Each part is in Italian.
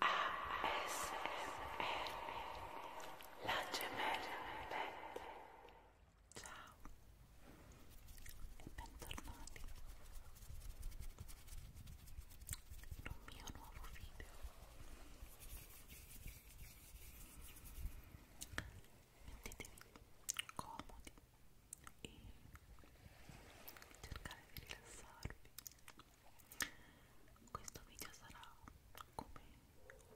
ASMR La gemella Pet Ciao e bentornati in un mio nuovo video Mettetevi comodi e cercate di rilassarvi questo video sarà come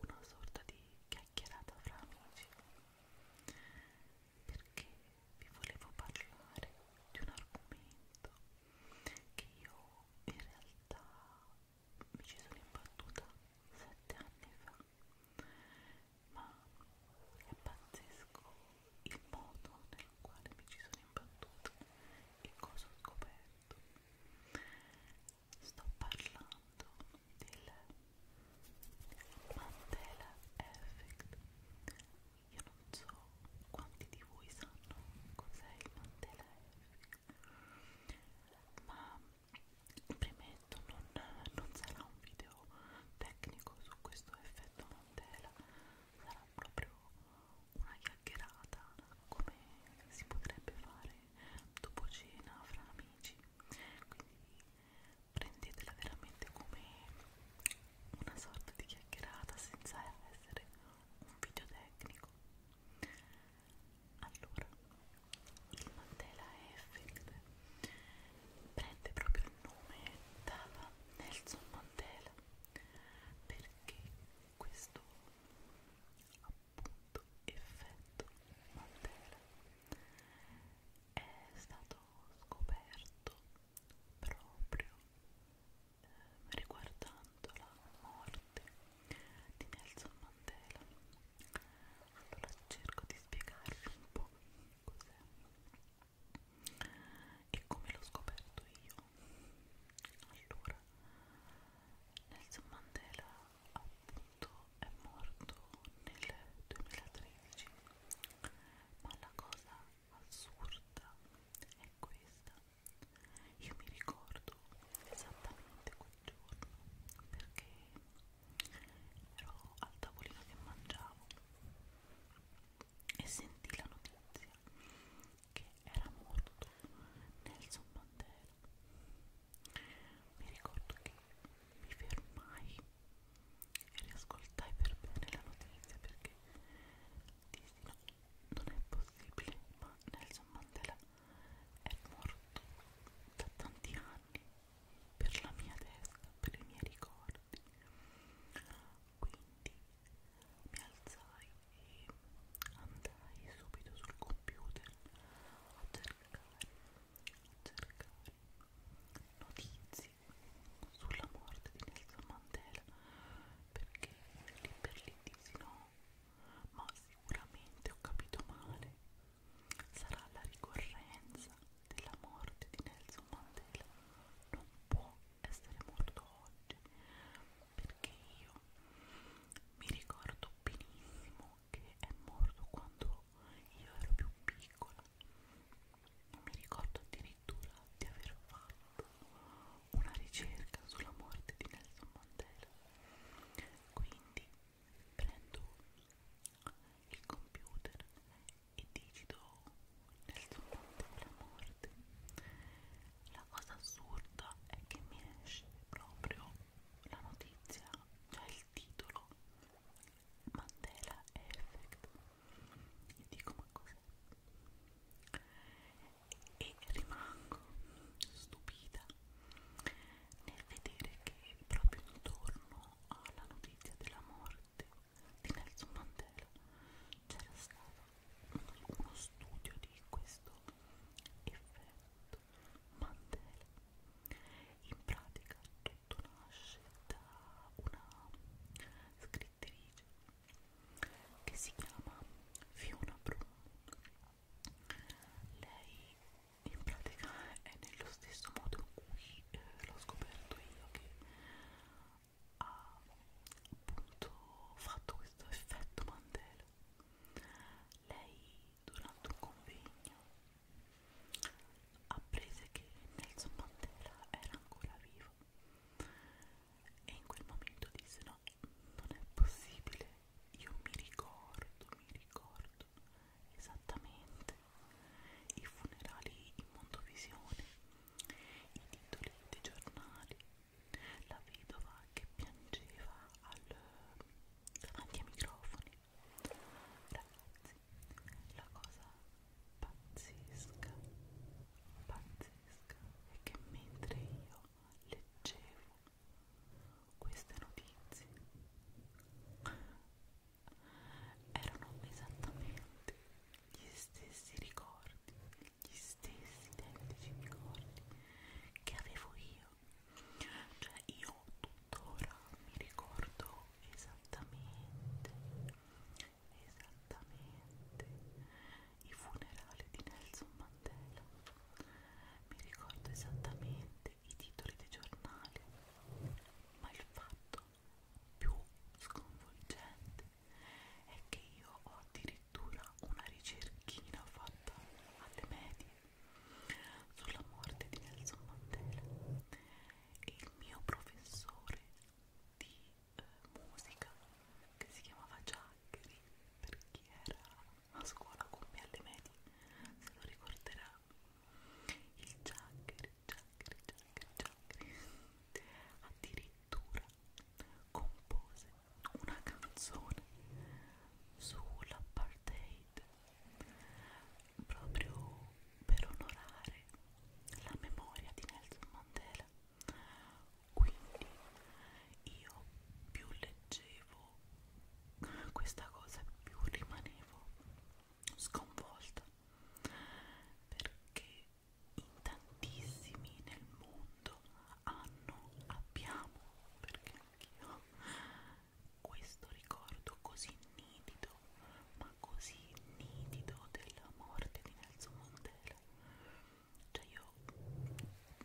una sorta di chiacchierata fra amici perché vi volevo parlare di un argomento che io in realtà mi ci sono imbattuta sette anni fa ma è pazzesco il modo nel quale mi ci sono imbattuta e cosa ho scoperto. Sto parlando del Mandela Effect. Io non so quanti di voi sanno cos'è il Mandela Effect, ma premetto non, non sarà un video tecnico su questo effetto Mandela sarà proprio una chiacchierata come si potrebbe fare dopo cena fra amici quindi prendetela veramente come una sorta di chiacchierata senza essere un video tecnico allora il Mandela Effect prende proprio il nome da Nelson Mandela Israele perché questo appunto effetto Mandela è stato scoperto proprio eh, riguardando la morte di Nelson Mandela allora cerco di spiegarvi un po' cos'è e come l'ho scoperto io? Allora, Nelson Mandela appunto è morto nel 2013, ma la cosa assurda è questa. Io mi ricordo esattamente quel giorno perché ero al tavolino che mangiavo e sentì la notizia che era morto Nelson Mandela. Mi ricordo che mi fermai e riascoltai per bene la notizia perché dissi no, non è possibile, ma Nelson Mandela è morto da tanti anni per la mia testa, per i miei ricordi quindi mi alzai e andai subito sul computer a cercare, a cercare notizie sulla morte di Nelson Mandela perché lì per lì disi no ma sicuramente ho capito male sarà la ricorrenza della morte di Nelson Mandela non può essere morto oggi perché io mi ricordo benissimo che è morto quando io ero più piccola mi ricordo addirittura di aver fatto una ricerca sulla morte di Nelson Mandela quindi prendo il computer e digito nel sonno della morte. La cosa assurda è che mi esce proprio la notizia, cioè il titolo Mandela Effect. E dico ma cos'è? E rimango stupita nel vedere che proprio intorno alla notizia della morte tutti di Nelson Mandela c'era stato uno studio di questo effetto Mandela in pratica tutto nasce da una scrittrice che si chiama Fiona Brown lei in pratica è nello stesso modo in cui eh, l'ho scoperto io che ha appunto fatto questo effetto Mandela lei durante un convegno apprese che Nelson Mandela era ancora vivo e in quel momento disse no non è possibile io mi ricordo mi ricordo mondo esattamente i funerali in mondovisione i titoli dei giornali la vedova che piangeva al, davanti ai microfoni ragazzi la cosa pazzesca pazzesca è che mentre io leggevo queste notizie erano esattamente gli stessi ricordi, gli stessi identici ricordi che avevo io. Cioè io tuttora mi ricordo esattamente, esattamente i funerali di Nelson Mandela. Mi ricordo esattamente i titoli dei giornali, ma il fatto più sconvolgente è che io ho addirittura una ricerchina fatta alle medie sulla morte di Nelson Mandela e il mio professore di eh, musica che si chiamava Giaccheri per chi era a scuola con me alle medie se lo ricorderà il chakra, chakra, chakra, chakra addirittura compose una canzone sull'apartheid proprio per onorare la memoria di Nelson Mandela quindi io più leggevo questa cosa più rimanevo sconvolta perché in tantissimi nel mondo hanno, abbiamo, perché anch'io questo ricordo così nitido, ma così nitido della morte di Nelson Mandela. Cioè io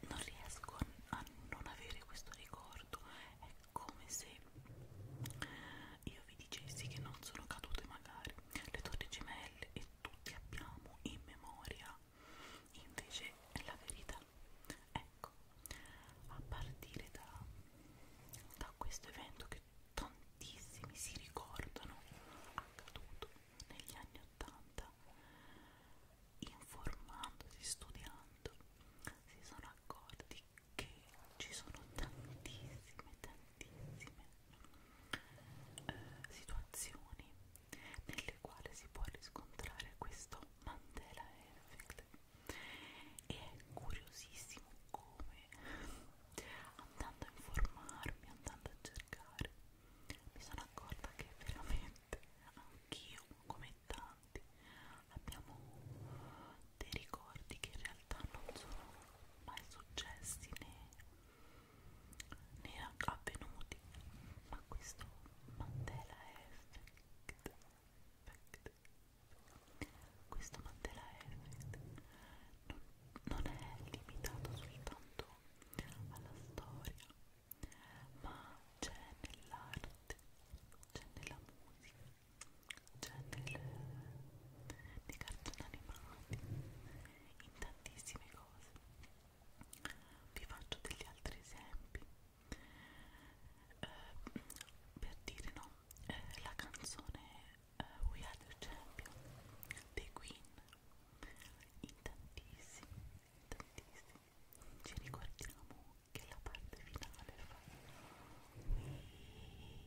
non riesco a non avere questo ricordo, è come se io vi dicessi che non sono cadute magari le torri gemelle e tutti abbiamo in memoria invece è la verità ecco a partire da, da questo evento che tantissimi si ricordano accaduto negli anni 80 informandosi, studiando quanto si sono accorti che ci sono tantissime, tantissime eh, situazioni nelle quali si può riscontrare questo Mandela Effect e è curiosissimo come andando a informarmi, andando a cercare mi sono accorta che veramente tante, anch'io come tanti abbiamo dei ricordi che in realtà non sono mai successi né, né avvenuti, ma questo Mandela Effect, effect. questo Mandela Effect non, non è limitato soltanto alla storia ma c'è nell'arte, c'è nella musica, c'è nel, nei cartoni animati, in tantissime cose. Vi faccio degli altri esempi. Eh, per dire no, eh, la canzone eh, We Are The Champion dei Queen in tantissimi, tantissimi ci ricordiamo che la parte finale fa We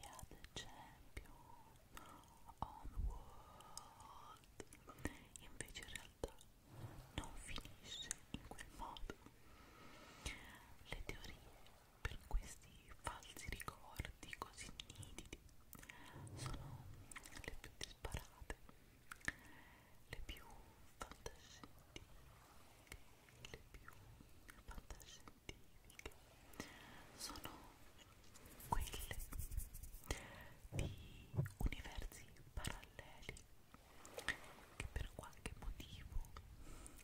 are the champion on world invece in realtà non finisce in quel modo le teorie per questi falsi ricordi così nitidi sono le più disparate le più fantascientifiche, le più fantascientifiche sono quelle di universi paralleli che per qualche motivo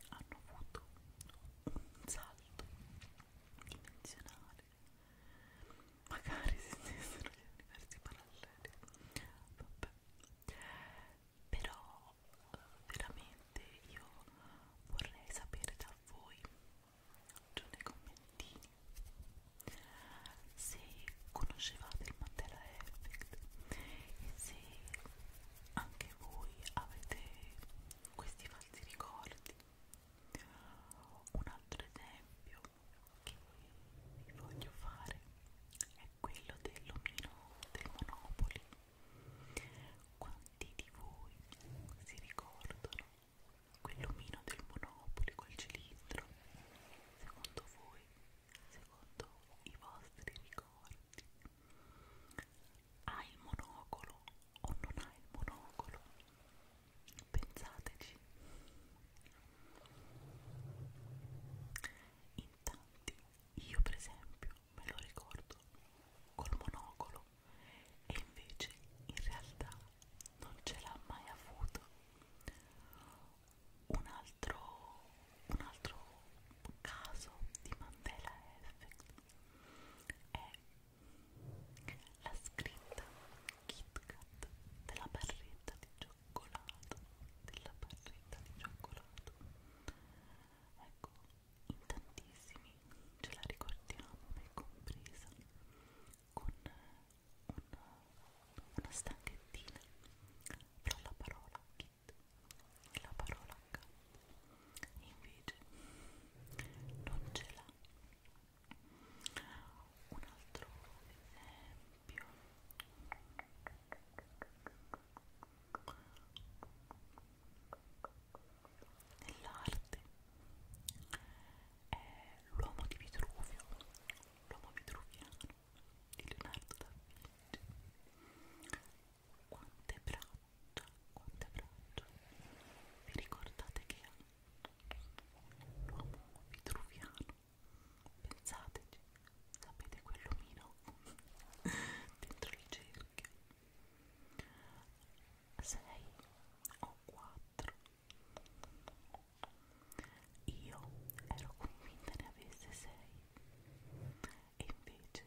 hanno avuto un salto dimensionale magari si stessero gli universi paralleli vabbè però veramente io vorrei sapere da voi giù nei commentini se conoscevate il Mandela Effect e se anche voi avete questi falsi ricordi un altro esempio che voglio fare è quello dell'omino del Monopoli. Quanti di voi si ricordano quell'omino del Monopoli, quel cilindro? Secondo voi, secondo i vostri ricordi, ha il monocolo o non ha il monocolo? Pensateci. In tanti, io per esempio me lo ricordo col monocolo e invece in realtà non ce l'ha mai avuto. Un altro, un altro caso di Mandela Effect è la scritta Kit Kat della barretta di cioccolato della barretta di cioccolato ecco in tantissimi ce la ricordiamo me compresa con una, una stanchettina fra la parola Kit e la parola K invece non ce l'ha un altro esempio nell'arte è l'uomo di Vitruvio l'uomo vitruviano di Leonardo da Vinci quante braccia quante braccia vi ricordate che ha l'uomo vitruviano pensateci sapete quell'omino dentro il cerchio 6 o 4 io ero convinta ne avesse 6 e invece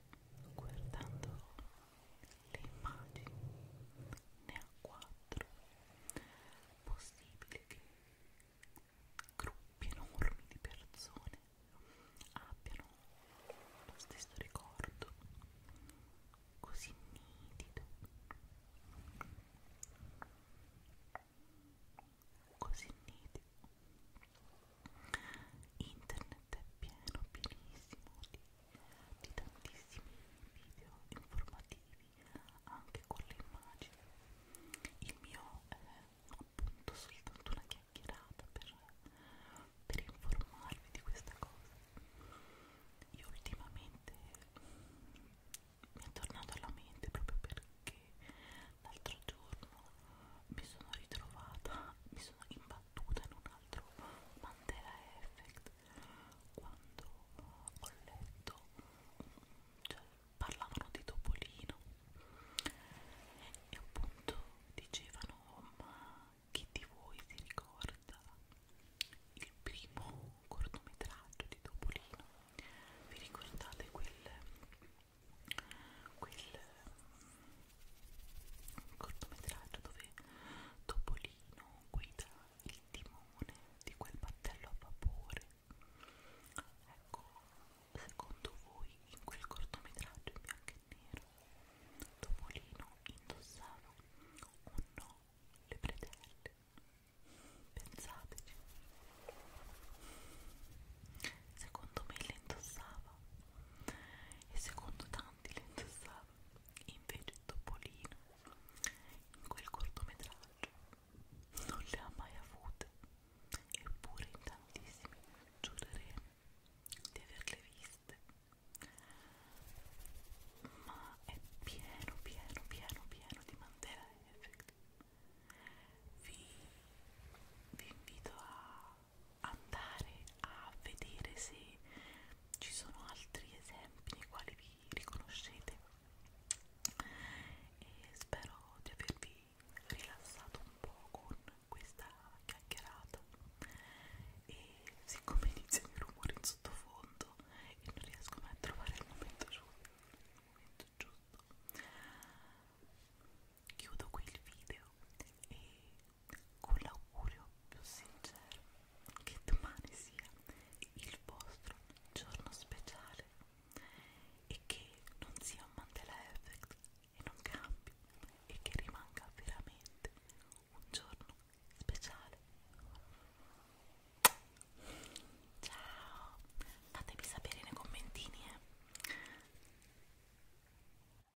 guardando le immagini ne ha quattro possibile che gruppi enormi di persone abbiano lo stesso ricordo così nitido così nitido internet è pieno pienissimo di di tantissimi video informativi anche con le immagini il mio è appunto soltanto una chiacchierata per, per informarvi di questa cosa io ultimamente mm, mi è tornato alla mente proprio perché l'altro giorno mi sono ritrovata mi sono imbattuta in un altro Mandela Effect quando ho letto cioè, parlavano di Topolino e appunto dicevano oh, ma chi di voi si ricorda il primo cortometraggio di Topolino vi ricordate quel quel mm, cortometraggio dove Topolino non guida il timone di quel battello a vapore. Ecco, secondo voi in quel cortometraggio in bianco e nero Topolino indossava o no le bretelle? Pensateci. Secondo me le indossava e secondo tanti eleganti le indossava invece Topolino in quel cortometraggio non le ha mai avute eppure in tantissimi giureremo di averle viste ma è pieno pieno pieno pieno di Mandela Effect vi, vi invito a andare a vedere se ci sono altri esempi nei quali vi riconoscete e spero di avervi rilassato un po' con questa chiacchierata e siccome inizia il rumore in sottofondo e non riesco mai a trovare il momento giusto, il momento giusto chiudo qui il video e con l'augurio più sincero che domani sia il vostro giorno speciale e che non sia un Mandela Effect e non cambi e che rimanga veramente un giorno speciale ciao fatemi sapere nei commentini eh